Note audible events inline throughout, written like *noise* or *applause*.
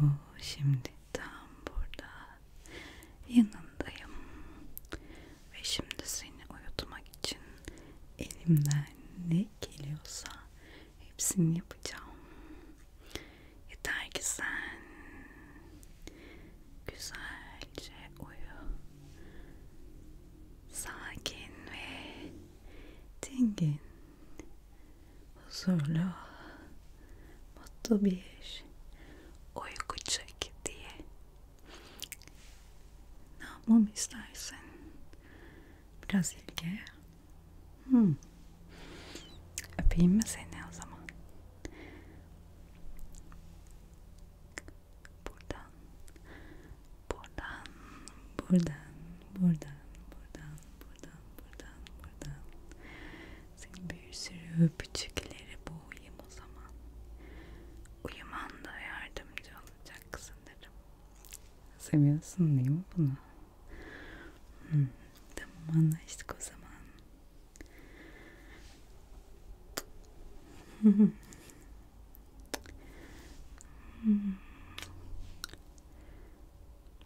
bu şimdi tam burada yanındayım ve şimdi seni uyutmak için elimden ne geliyorsa hepsini yapacağım yeter ki sen güzelce uyu sakin ve dingin huzurlu, mutlu bir uyku çek diye ne yapmamı istersin? Biraz ilgi. Hmm. Öpeyim mi seni o zaman? Buradan, buradan, buradan, buradan, buradan, buradan, buradan, buradan. Senin bir sürü öpücükleri boğayım o zaman. Uyuman da yardımcı olacak sanırım. Seviyorsun değil mi bunu? Hmm, tamam anlaştık o zaman. *laughs*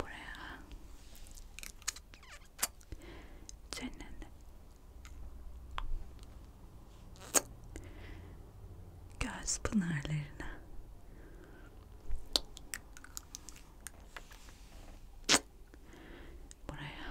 Buraya senin göz pınarlarına buraya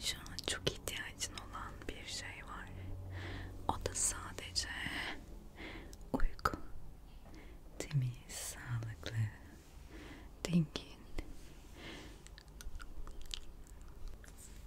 Şu an çok ihtiyacın olan bir şey var. O da sadece uyku. Temiz, sağlıklı, dingin.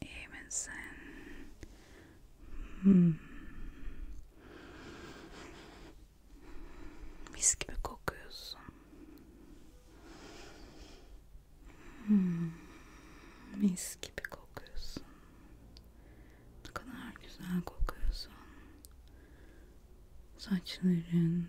İyi misin? Hmm. Mis gibi kokuyorsun. Hmm. Mis gibi kokuyorsun. Ne kadar güzel kokuyorsun. Saçların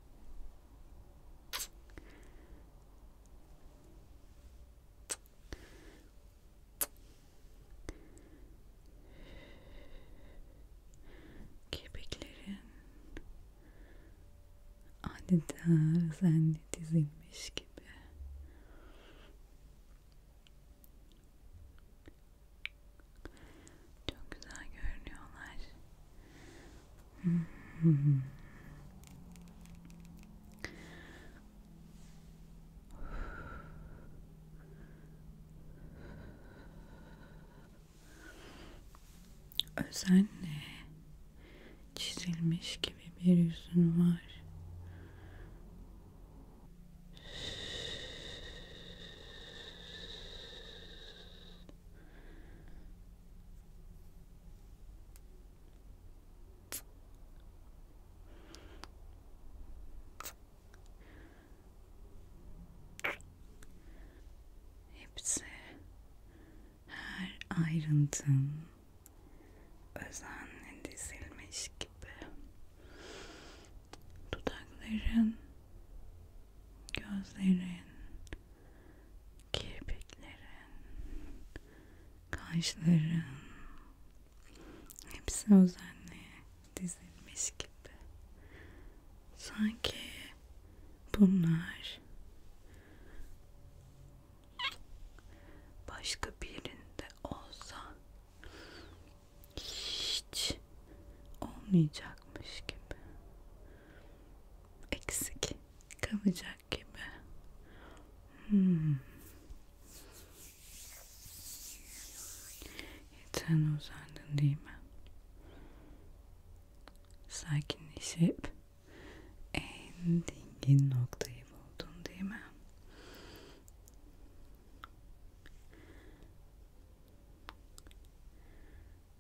Kepeklerin adeta özenle dizilmiş gibi çok güzel görünüyorlar. *laughs* Özenle çizilmiş gibi bir yüzün var. Hepsi her ayrıntın özenle dizilmiş gibi dudakların gözlerin, kirpiklerin, kaşların hepsi özenle dizilmiş gibi. Sanki bunlar başka birinde olsa hiç eksik olmayacakmış gibi. Eksik kalacak gibi. Hmm. Yatağına uzandın değil mi? Sakinleşip en dingin noktayı buldun değil mi?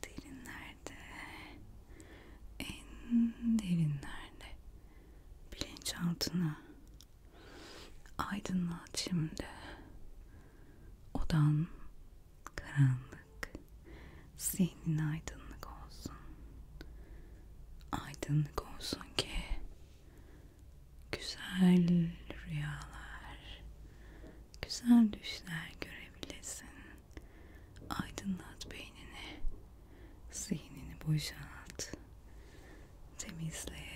Derinlerde, en derinlerde bilinçaltına Aydınlat şimdi. Odan karanlık. Zihnin aydınlık olsun. Aydınlık olsun ki güzel rüyalar, güzel düşler görebilesin. Aydınlat beynini, zihnini boşalt temizle.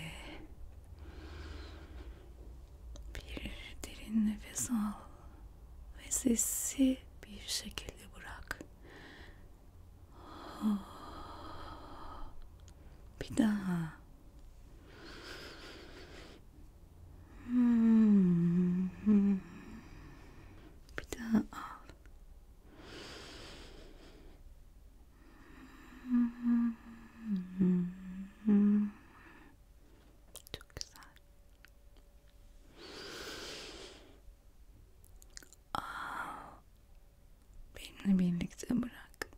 Bir derin nefes al ve sesi bir şekilde bırak. Bir daha. Bir daha al. Çok güzel. Aa, birlikte bırak.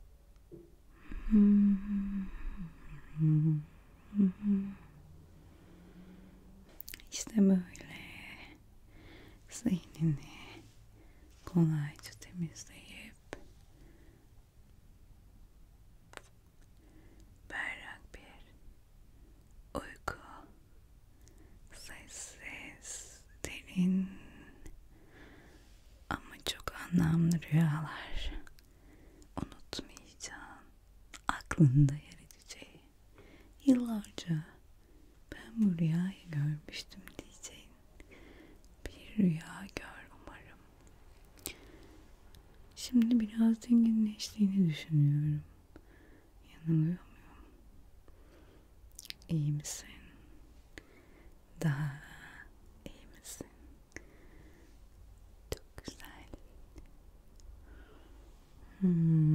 İşte böyle. zihnini kolayca temizleyip berrak bir uyku sessiz derin ama çok anlamlı rüyalar unutmayacağın aklında yer edeceği yıllarca ben bu rüyayı görmüştüm diyeceğin bir rüya gör umarım. Şimdi biraz dinginleştiğini düşünüyorum. Yanılıyor muyum? İyi misin? Daha iyi misin? Çok güzel. Hmm.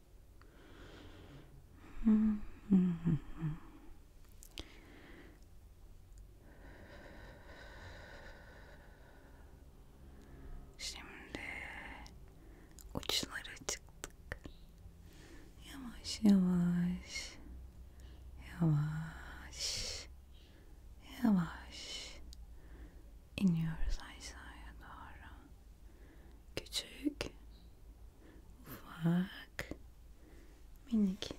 Şimdi uçlara çıktık. Yavaş yavaş. Yavaş. Yavaş iniyoruz aşağıya doğru küçük, ufak, minik,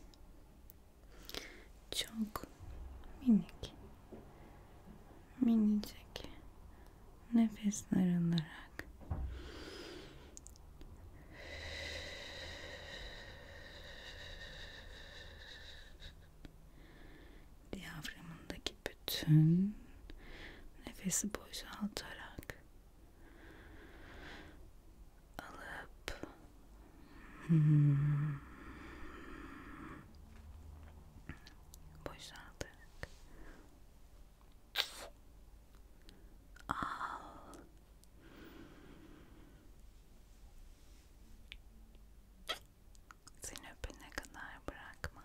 çok minik, minicik nefesler alarak diyaframındaki bütün nefesi boşaltarak alıp hmm, boşaltarak al seni öpene kadar bırakma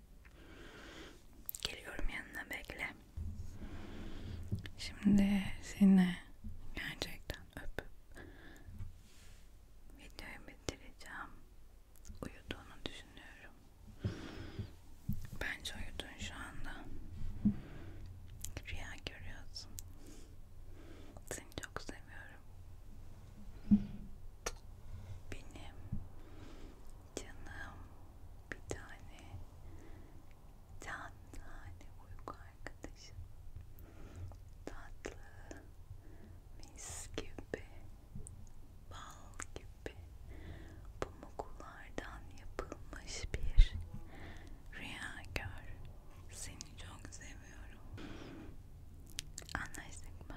Geliyorum yanına bekle. Şimdi seni gerçekten öpüp videoyu bitireceğim. Uyuduğunu düşünüyorum. Bence uyudun şu anda. Rüya görüyorsun. Seni çok seviyorum. Benim Canım bir tane can hani tane uyku arkadaşım tatlı mis gibi bal gibi pamuklardan yapılmış bir rüya gör seni çok seviyorum anlaştık mı?